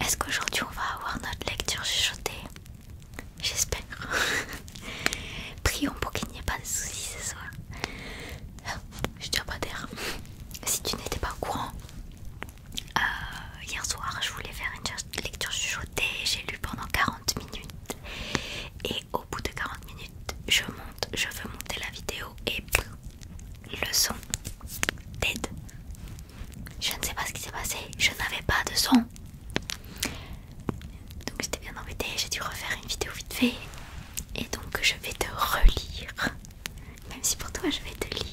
est-ce qu'aujourd'hui on va avoir notre lecture chuchotée J'espère. Prions pour qu'il n'y ait pas de soucis ce soir. je tiens pas d'air. Si tu n'étais pas au courant, euh, hier soir je voulais faire une lecture chuchotée. J'ai lu pendant 40 minutes. Et au bout de 40 minutes, je monte, je veux monter la vidéo et le son dead. Je ne sais pas ce qui s'est passé, je n'avais pas de son. Donc j'étais bien embêtée, j'ai dû refaire une vidéo vite fait. Et donc je vais te relire. Même si pour toi je vais te lire.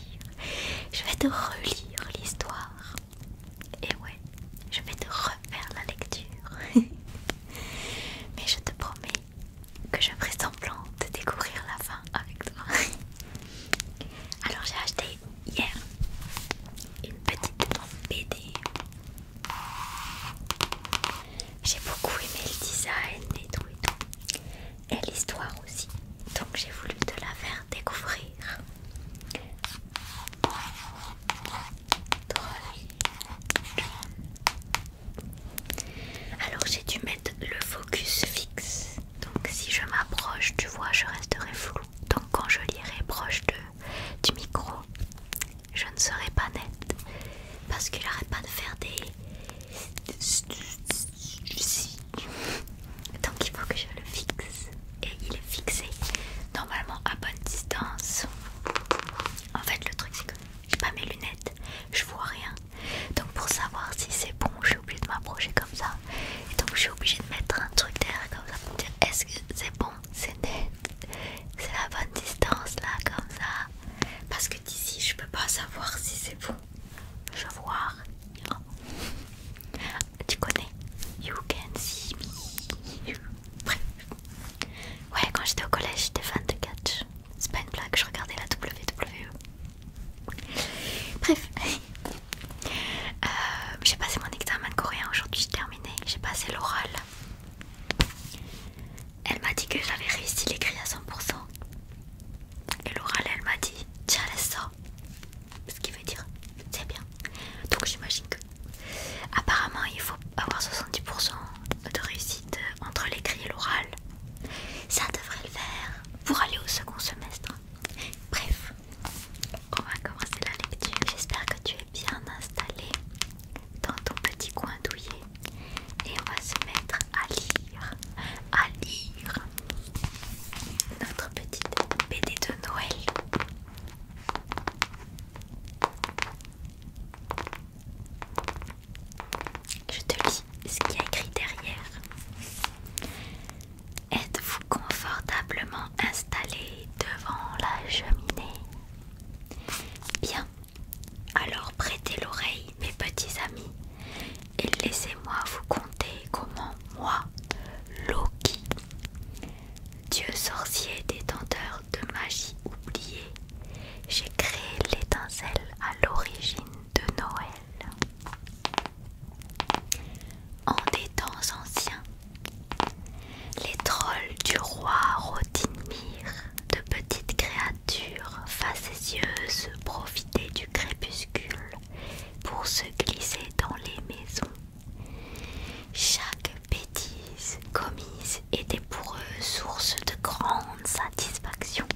Je vais te relire l'histoire. Et ouais, je vais te refaire la lecture. Mais je te promets que je ferai semblant de découvrir la fin avec toi. Alors j'ai acheté hier une petite BD. J'ai beaucoup aimé le design et tout et tout. Et l'histoire aussi. Donc j'ai voulu te la faire découvrir. Alors j'ai dû mettre le focus fixe donc si je m'approche, tu vois, je resterai floue. Donc quand je lirai proche de, du micro, je ne serai pas nette. Parce qu'il arrête pas de faire des... Donc il faut que je le fixe. Et il est fixé normalement à bonne distance. En fait le truc c'est que j'ai pas mes lunettes, je vois rien. Donc pour savoir si c'est bon, j'ai oublié de m'approcher comme ça et donc je suis obligée de mettre un truc derrière comme ça pour dire est-ce que c'est bon, c'est net, c'est la bonne distance là comme ça parce que d'ici je peux pas savoir si c'est bon. Je vois hein? Tu connais You can see me. Bref. Ouais, quand j'étais au collège, j'étais fan de catch. C'est pas une blague, je regardais la WWE. Bref, euh, j'ai passé mon examen de coréen aujourd'hui, j'ai terminé, j'ai passé l'oral. Elle m'a dit que j'avais réussi l'écrit à 100%. Et l'oral, elle m'a dit, tiens, Ce qui veut dire, c'est bien. Donc j'imagine que apparemment il faut avoir 70% de réussite entre l'écrit et l'oral. Ça devrait le faire pour aller au second semestre. Bref, on va commencer la lecture. J'espère que tu es bien installé dans ton petit coin douillet et on va se mettre à lire, à lire notre petite BD de Noël. Je te lis ce qu'il y a écrit derrière. Êtes-vous confortablement installé devant la cheminée Bien, alors prêtez l'oreille mes petits amis et laissez-moi vous conter comment moi, Loki, dieu sorcier détenteur de magie oubliée, j'ai créé l'étincelle à l'origine de Noël. En des temps anciens, les trolls du roi Rodimir, de petites créatures facétieuses, profitaient du crépuscule pour se glisser dans les maisons. Chaque bêtise commise était pour eux source de grande satisfaction.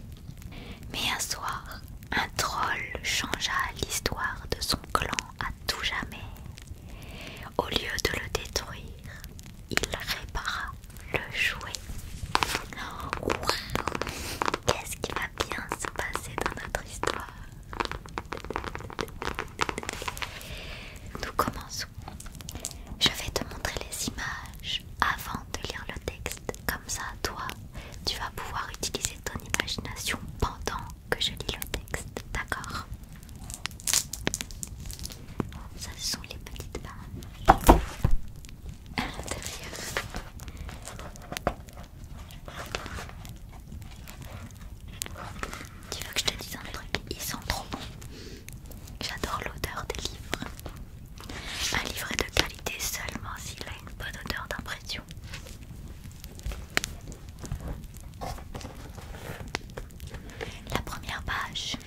Mais un soir, un troll changea l'histoire de son clan à tout jamais. Au lieu de le détruire, il répara le jouet. Qu'est-ce qui va bien se passer dans notre histoire Nous commençons. Je vais te montrer les images avant de lire le texte. Comme ça, toi, tu vas pouvoir utiliser ton imagination pendant que je lis le texte. D'accord Ça, ce sont les petites à Tu veux que je te dise un truc Ils sont trop bons. J'adore l'odeur des livres. Un livre est de qualité seulement s'il une bonne odeur d'impression. La première page.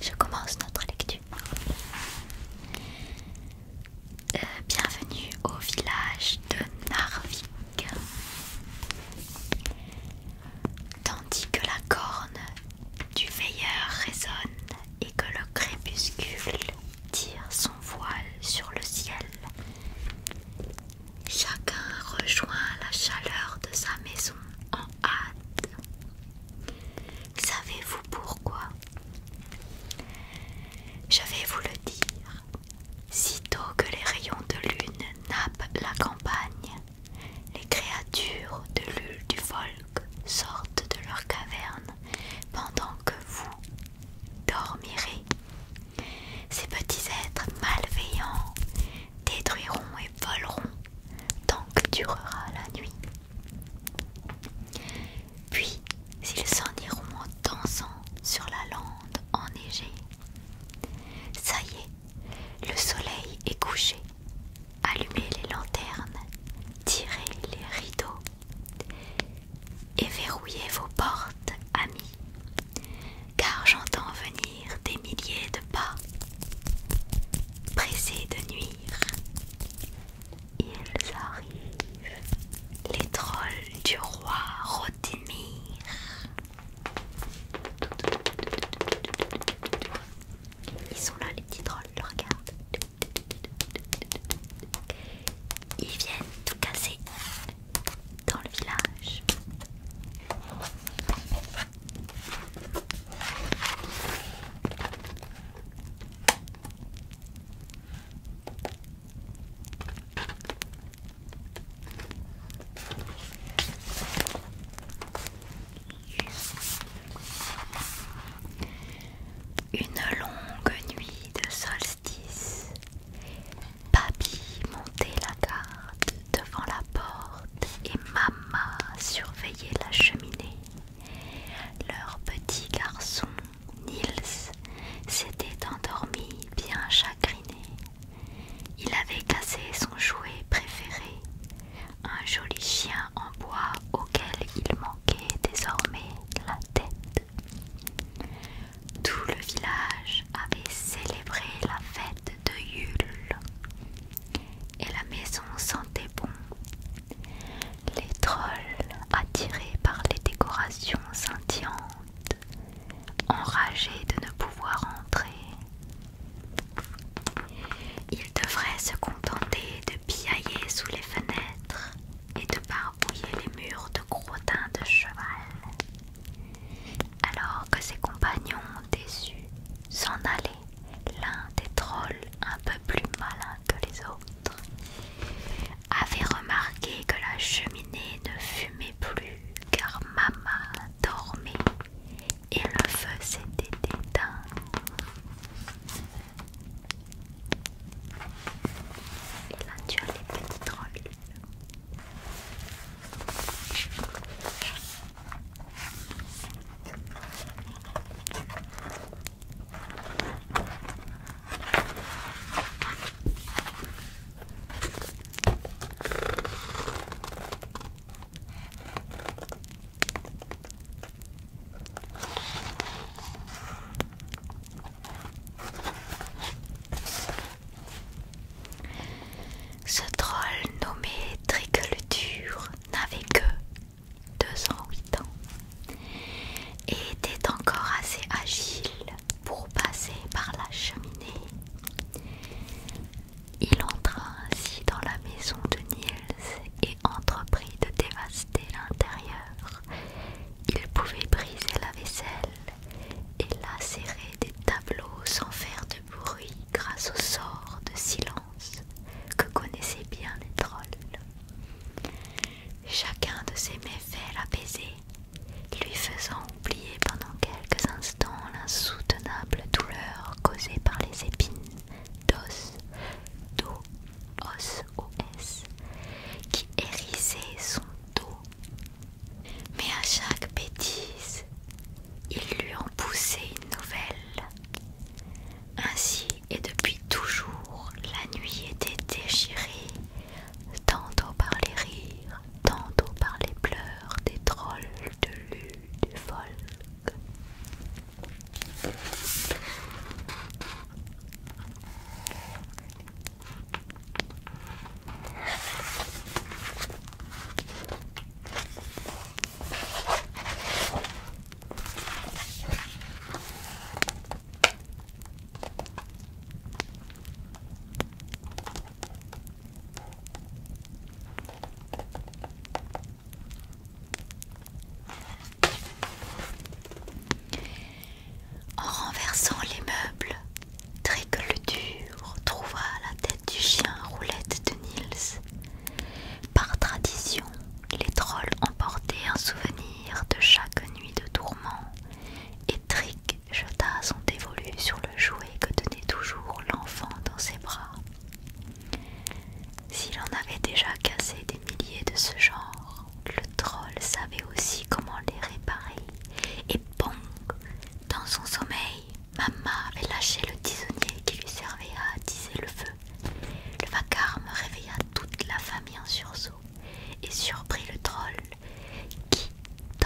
Je commence notre lecture. Euh, bienvenue au village de Narvik. Tandis que la corne du veilleur résonne et que le crépuscule tire son voile sur le ciel, chacun rejoint la chaleur de sa maison en hâte. Savez-vous pourquoi Je vais vous le dire. Sitôt que les rayons de lune nappent la campagne, les créatures de l'huile du Volk sortent de leur caverne pendant que vous dormirez. Ces petits êtres malveillants détruiront et voleront tant que durera la nuit. Puis ils s'en iront en dansant sur la lande enneigée. Ça y est, le soleil est couché. Allumez les lanternes, tirez les rideaux et verrouillez vos portes, amis, car j'entends venir des milliers de pas, pressés de nuire. Ils arrivent, les trolls du roi Rotimir. Ils sont là, les petits drôles, regarde. Ils viennent tout casser dans le village. Une longue nuit de solstice, Papy montait la garde devant la porte et Mama surveillait la cheminée. Leur petit garçon, Nils, s'était endormi bien chagriné. Il avait cassé son jouet préféré, un joli chien en bois auquel il manquait désormais la tête. Tout le village avait célébré la fête de Yule et la maison sentait bon. Les trolls, attirés par les décorations scintillantes, enragé de ne pouvoir entrer. Il devrait se contenter de piailler sous les fenêtres et de barbouiller les murs de gros de cheval. Alors que ses compagnons déçus s'en allaient, l'un des trolls un peu plus malin que les autres avait remarqué que la cheminée ne fumait plus car maman dormait et le feu s'était éteint. Et là tu as les petites reliques. Ce troll nommé Triculture n'avait que 208 ans et était encore assez agile pour passer par la cheminée. Il entra ainsi dans la maison de Niels et entreprit de dévaster l'intérieur. Il pouvait briser la vaisselle et lacérer des tableaux sans faire de bruit grâce au sort de silence que connaissaient bien les trolls. Chacun de ces méfaits l'apaisait lui faisant oublier pendant quelques instants l'insoutenable douleur causée par les épines d'os, dos os, os, qui hérissaient son dos. Mais à chaque bêtise, il lui en poussait une nouvelle. Ainsi et depuis toujours, la nuit était déchirée, tantôt par les rires, tantôt par les pleurs des trolls de l'U des folk. En renversant les meubles, Trick le dur trouva la tête du chien roulette de Nils. Par tradition, les trolls emportaient un souvenir de chaque nuit de tourment et Trick Jota jeta son sur le jouet que tenait toujours l'enfant dans ses bras. S'il en avait déjà cassé des milliers de ce genre, le troll savait aussi comment les réparer. Et bon, dans son sommeil, maman avait lâché le tisonnier qui lui servait à attiser le feu. Le vacarme réveilla toute la famille en sursaut et surprit le troll qui,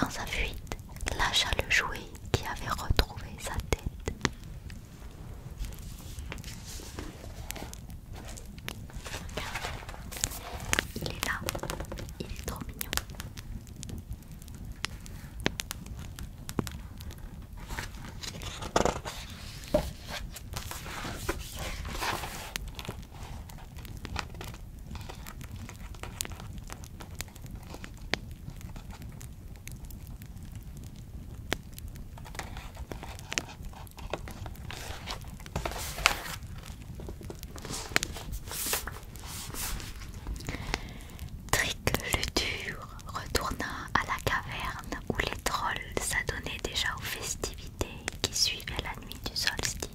dans sa fuite, lâcha le jouet qui avait retrouvé sa tête. Il est là, il est trop mignon. Trick le dur retourna à la caverne où les trolls s'adonnaient déjà aux festivités qui suivaient la nuit du solstice.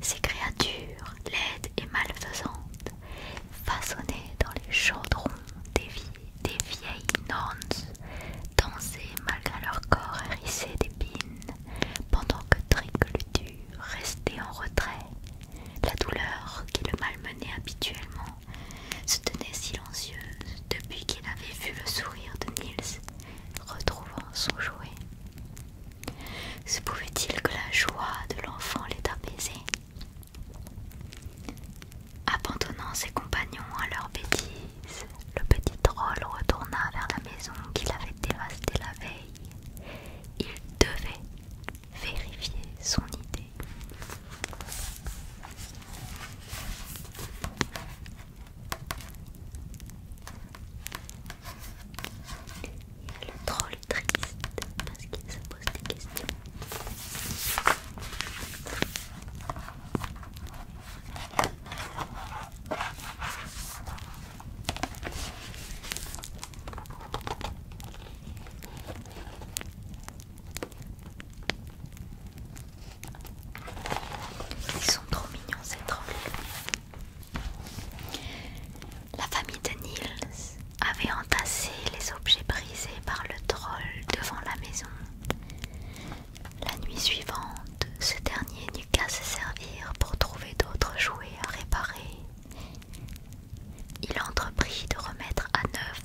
Ces créatures, laides et malfaisantes, façonnées dans les chaudrons des, vieilles Nantes, dansaient malgré leur corps hérissé d'épines, pendant que Triculutur restait en retrait. La douleur qui le malmenait habituellement se tenait silencieuse depuis qu'il avait vu le sourire de Nils, retrouvant son jouet. Se pouvait-il que la joie de l'enfant l'ait apaisé Abandonnant ses compagnons à leur bêtises, le petit drôle retourna vers la maison qu'il avait dévastée la veille. Il devait vérifier son idée. Il y a le troll triste parce qu'il se pose des questions. Ils sont trop mignons ces trolls. La famille de Niels avait entassé les objets brisés par le troll devant la maison. La nuit suivante, ce dernier n'eut qu'à se servir pour trouver d'autres jouets à réparer. Il entreprit de remettre à neuf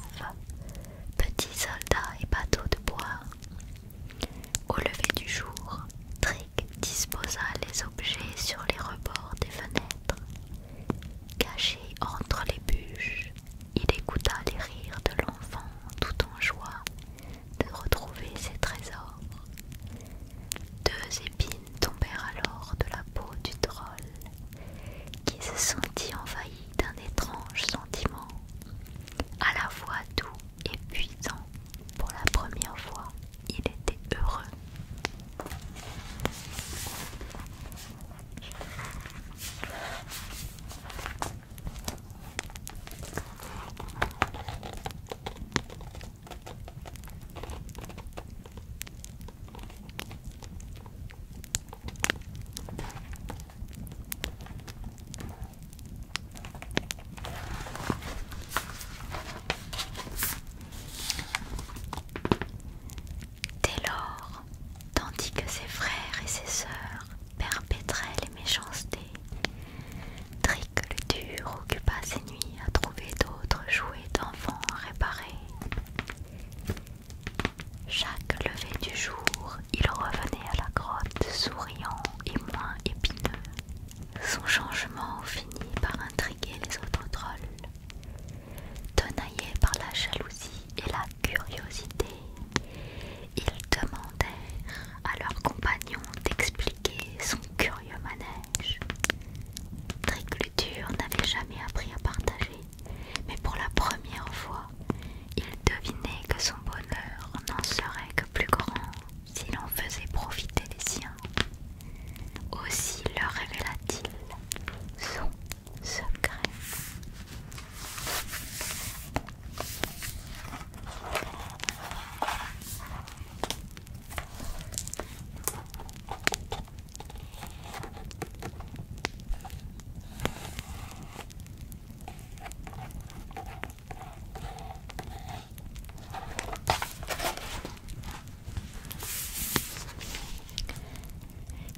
petits soldats et bateaux de bois. Au lever du jour, Trick disposa les objets sur les rebords des fenêtres. Caché entre les bûches, il écouta les rires de l'enfant tout en joie de retrouver ses trésors. Deux épines tombèrent alors de la peau du troll, qui se sentit envahi d'un étrange sentiment, à la fois doux et puissant pour la première fois il était heureux. Dès lors, tandis que ses frères et ses sœurs perpétraient les méchancetés, Trick le dur occupa ses nuits à trouver d'autres jouets d'enfants à réparer. Chaque lever du jour, il revenait à la grotte souriant et moins épineux. Son changement finit par un les autres trolls. Tenaillés par la jalousie et la curiosité, ils demandèrent à leurs compagnons d'expliquer son curieux manège. Triculture n'avait jamais appris à partager, mais pour la première fois, il devinait que son bonheur n'en serait que plus grand s'il en faisait profiter les siens. Aussi leur révéla-t-il son secret.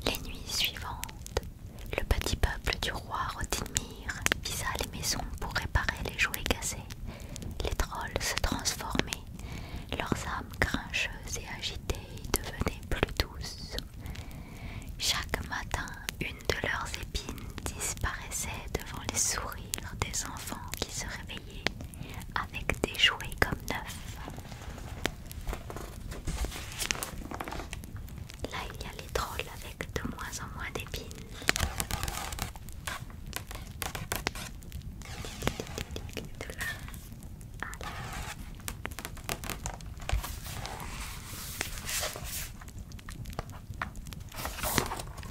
Les nuits suivantes, le petit peuple du roi Rodinmir visa les maisons pour réparer les jouets cassés. Les trolls se transformaient, leurs âmes grincheuses et agitées devenaient plus douces. Chaque matin, une de leurs épines disparaissait devant les sourires des enfants qui se réveillaient avec des jouets comme neufs. Là, il y a les trolls avec de moins en moins d'épines.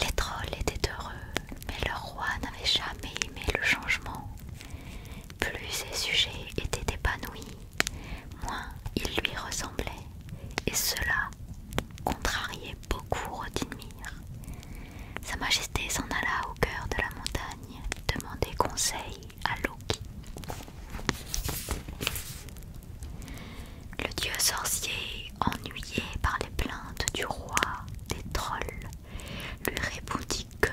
Les trolls étaient heureux, mais leur roi n'avait jamais aimé le changement. Plus ses sujets étaient épanouis, moins ils lui ressemblaient, et cela contrariait beaucoup Rodimir. Sa Majesté s'en alla au cœur de la montagne demander conseil à Loki. Le dieu sorcier ennuyé par les plaintes du roi des trolls, lui répondit que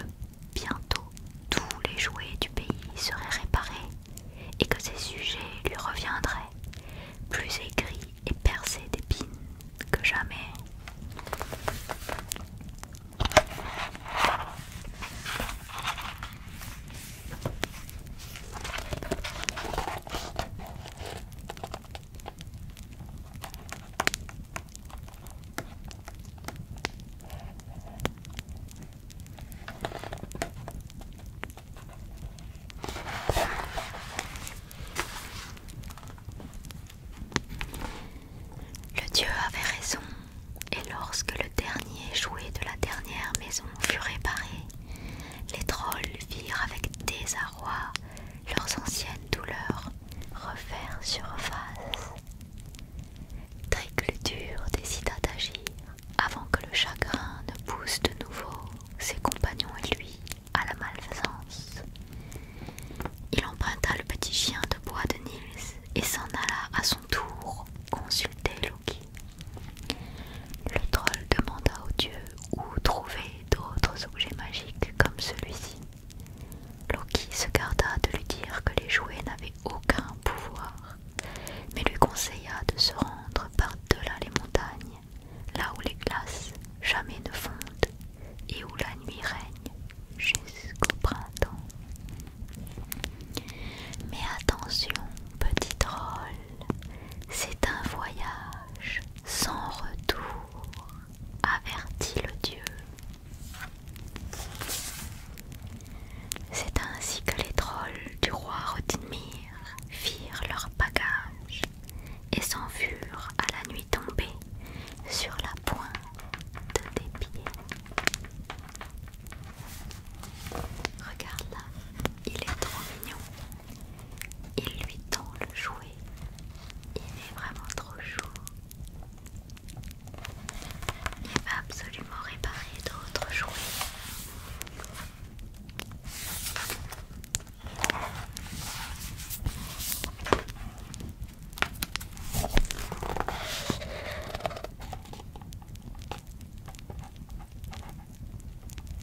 bientôt tous les jouets du pays seraient réparés et que ses sujets lui reviendraient plus aigris et percés d'épines que jamais. Le dieu avait raison, et lorsque le dernier jouet de la dernière maison fut réparé, les trolls virent avec désarroi leurs anciennes douleurs refaire surface. Triculture décida d'agir avant que le chagrin ne pousse de nouveau ses compagnons et lui à la malfaisance. Il emprunta le petit chien de bois de Nils et s'en alla à son tour consulter Loki. Le troll demanda au dieu où trouver d'autres objets magiques comme celui-ci. Loki se garda de lui dire que les jouets n'avaient aucun pouvoir, mais lui conseilla de se rendre par-delà les montagnes, là où les glaces jamais ne fondent et où la nuit règne jusqu'au printemps. Mais attention, petit drôle, c'est un voyage sans retour avertit le dieu. C'est ainsi que les trolls du roi Rodinmir firent leur bagage et s'enfurent à la nuit tombée sur la pointe des pieds. Regarde là, il est trop mignon. Il lui tend le jouet. Il est vraiment trop chaud. Il va absolument réparer d'autres jouets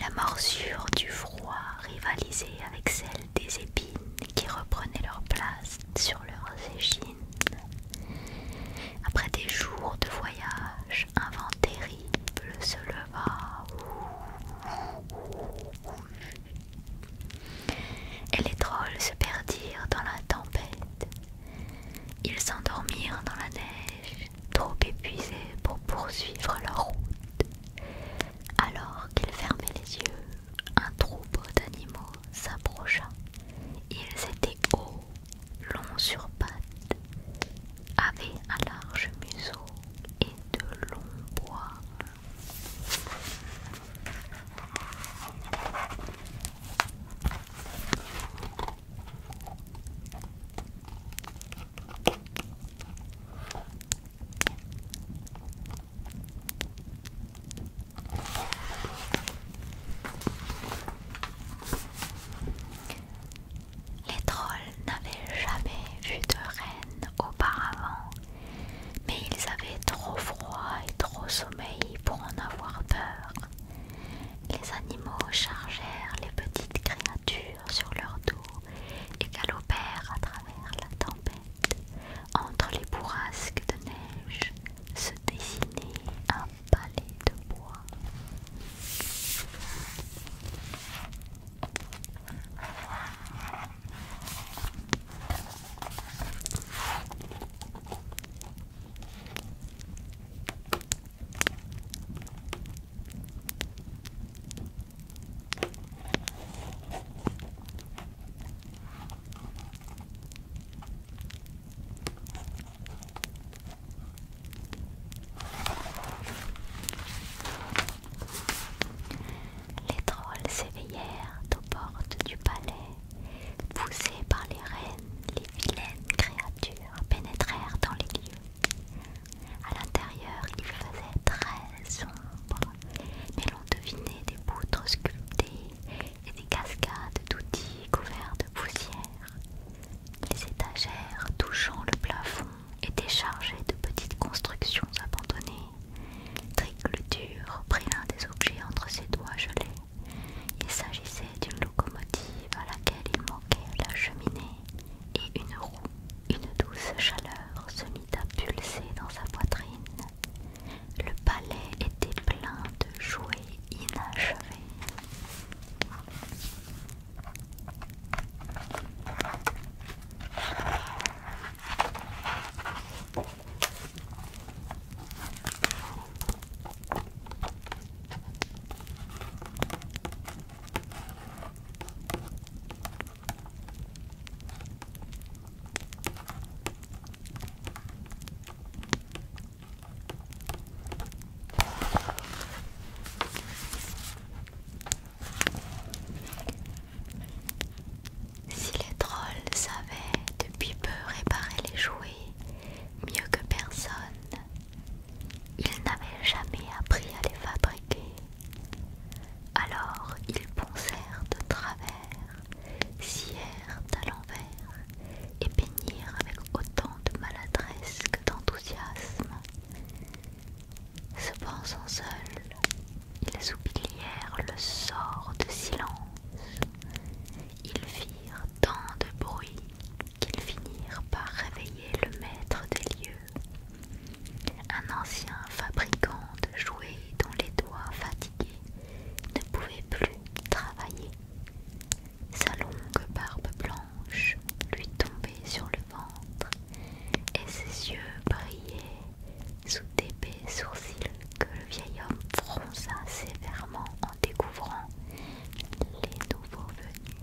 La morsure du froid rivalisait avec celle des épines qui reprenaient leur place sur leurs échines. Après des jours de voyage, un vent terrible se leva. Et les trolls se perdirent dans la tempête. Ils s'endormirent dans la neige trop épuisés pour poursuivre leur route. Alors qu'ils fermaient les yeux, un troupeau d'animaux s'approcha. Ils étaient hauts, longs sur pattes, avaient un large museau et de longs bois. Les trolls n'avaient jamais vu de reine auparavant, mais ils avaient trop froid et trop sommeil pour en avoir peur. Les animaux chargèrent les petites créatures sur leur dos et galopèrent à travers la tempête. Entre les bourrasques de neige se dessinait un palais de bois. Les trolls s'éveillèrent aux portes du palais. Poussés par les reines, les vilaines créatures pénétrèrent dans les lieux. À l'intérieur, il faisait très sombre, mais l'on devinait des poutres sculptées et des cascades d'outils couverts de poussière. Les étagères touchant le plafond étaient chargées de petites constructions abandonnées. triculture prit l'un des objets entre ses doigts gelés. Il s'agissait d'une locomotive à laquelle il manquait la cheminée, et une roue. Une douce chaleur se mit à pulser dans sa poitrine. Le palais était plein de jouets inachevés. Si les trolls savaient depuis peu réparer les jouets mieux que personne, ils n'avaient jamais appris à les fabriquer. Alors ils poncèrent de travers, scièrent à l'envers et peignirent avec autant de maladresse que d'enthousiasme. Se pensant seuls, ils oublièrent le sort de silence. Ils firent tant de bruit qu'ils finirent par réveiller le maître des lieux un ancien fabricant de jouets dont les doigts fatigués ne pouvaient plus travailler. Sa longue barbe blanche lui tombait sur le ventre et ses yeux brillaient sous d'épais sourcils que le vieil homme fronça sévèrement en découvrant les nouveaux venus.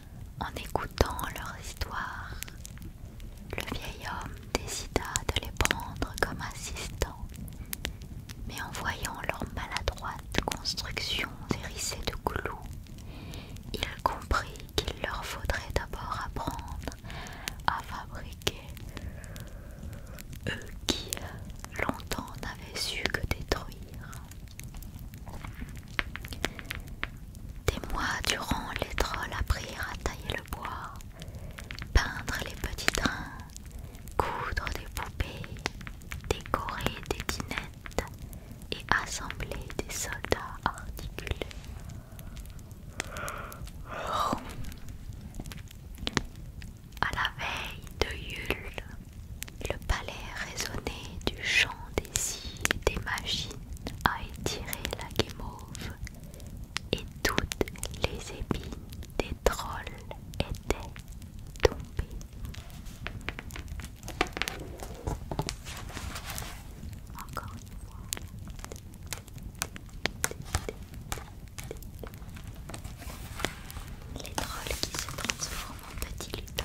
En écoutant leur histoire, le vieil homme décida de les prendre comme assistants, mais en voyant leur maladroite construction hérissée de clous, il comprit qu'il leur faudrait d'abord apprendre à fabriquer. Eux qui longtemps n'avaient su que détruire. Des mois durant, les trolls apprirent à tailler le bois, peindre les petits trains, coudre des poupées, décorer des dinettes et assembler des soldats articulés. À la veille de Yule, le palais résonnait du chant des îles des machines à étirer la guimauve, et toutes les épines des trolls étaient tombées. Encore une fois. Les trolls qui se transforment en petits lutins.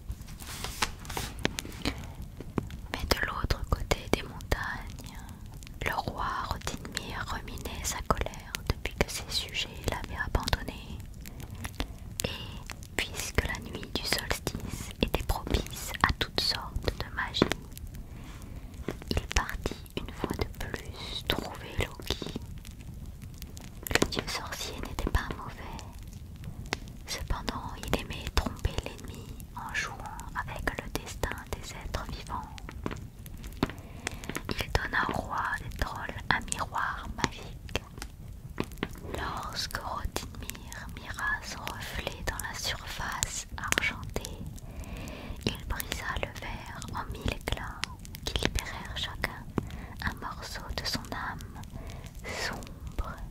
Mais de l'autre côté des montagnes, le roi Rodinmir ruminait sa colère depuis que ses sujets l'avaient abandonné. Et puisque la nuit du solstice était propice à toutes sortes de magie, il partit une fois de plus trouver Loki. Le dieu sorcier n'était pas mauvais, Cependant, il aimait tromper l'ennemi en jouant avec le destin des êtres vivants. Il donna au roi des trolls un miroir magique. Lorsque Rodinmir mira son reflet dans la surface argentée, il brisa le verre en mille éclats qui libérèrent chacun un morceau de son âme sombre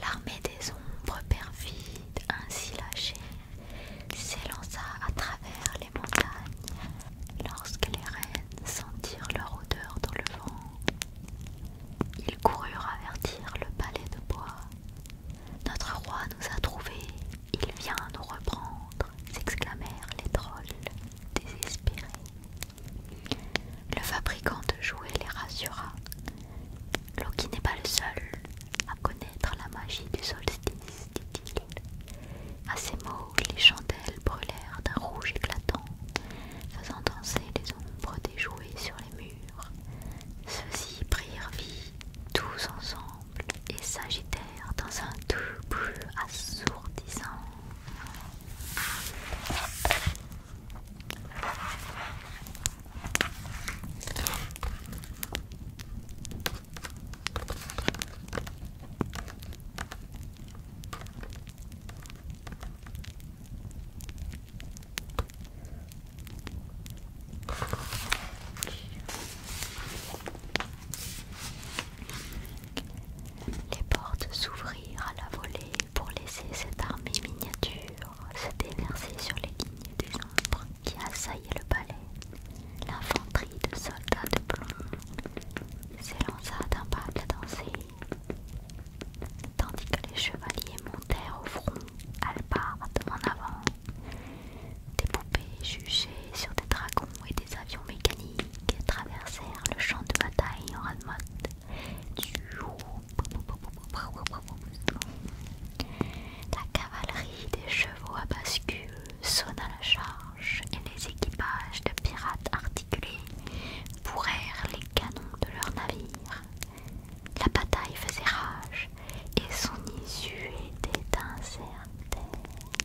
L'armée des ombres perfides, ainsi lâchée, s'élança à travers les montagnes lorsque les reines sentirent leur odeur dans le vent. Ils coururent avertir le palais de bois. Notre roi nous a trouvés, il vient nous reprendre s'exclamèrent les trolls désespérés. Le fabricant de jouets les rassura. Loki n'est pas le seul à connaître la magie du solstice, dit-il. À ces mots, les chandelles brûlèrent d'un rouge éclatant, faisant danser les ombres des jouets sur les murs. Ceux-ci prirent vie tous ensemble et Sagittaire dans un double assourdissant. Les portes s'ouvrirent à la volée pour laisser cette armée miniature se déverser sur les lignes des ombres qui assaillaient le palais. L'infanterie de soldats de plomb s'élança d'un pas de la danser, tandis que les chevaliers montèrent au front, albarde en avant, des poupées jugées sur des dragons et des avions mécaniques traversèrent le champ de bataille en mode. La cavalerie des chevaux à bascule sonna la charge et les équipages de pirates articulés bourrèrent les canons de leurs navires. La bataille faisait rage et son issue était incertaine.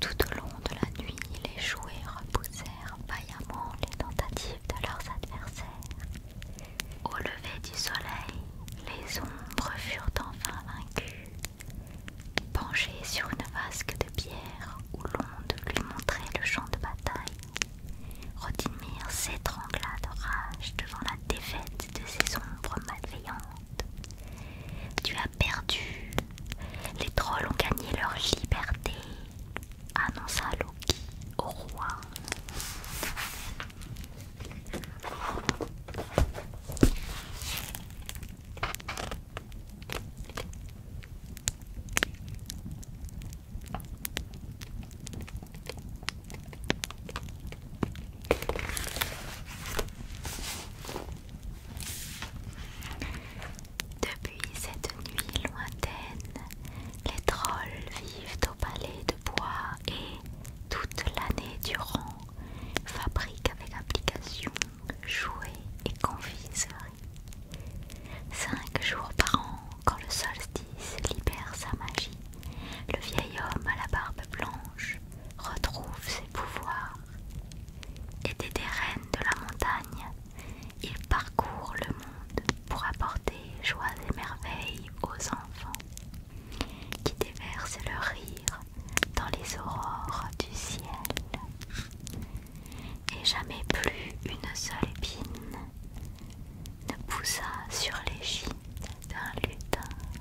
Tout au long de la nuit, les jouets repoussèrent vaillamment les tentatives de leurs adversaires. Au lever du soleil, les ombres furent enfin vaincues. Penchées sur une vasque de pierre où l'onde lui montrait le champ de bataille, Rodimir s'étrangla de rage devant la défaite de ces ombres malveillantes. Tu as perdu. Les trolls ont gagné leur liberté, annonça Loki au roi. Depuis cette nuit lointaine, les trolls vivent au palais de bois et, toute l'année durant, fabriquent avec application jouets et confiseries. Cinq jours par an, quand le solstice libère sa magie, le vieil homme à la barbe blanche retrouve ses pouvoirs. Et des reines de la montagne, il parcourt le monde pour apporter joie et merveilles aux enfants qui déversent leur rire dans les aurores du ciel. Et jamais plus une seule épine ne poussa sur l'échine d'un lutin.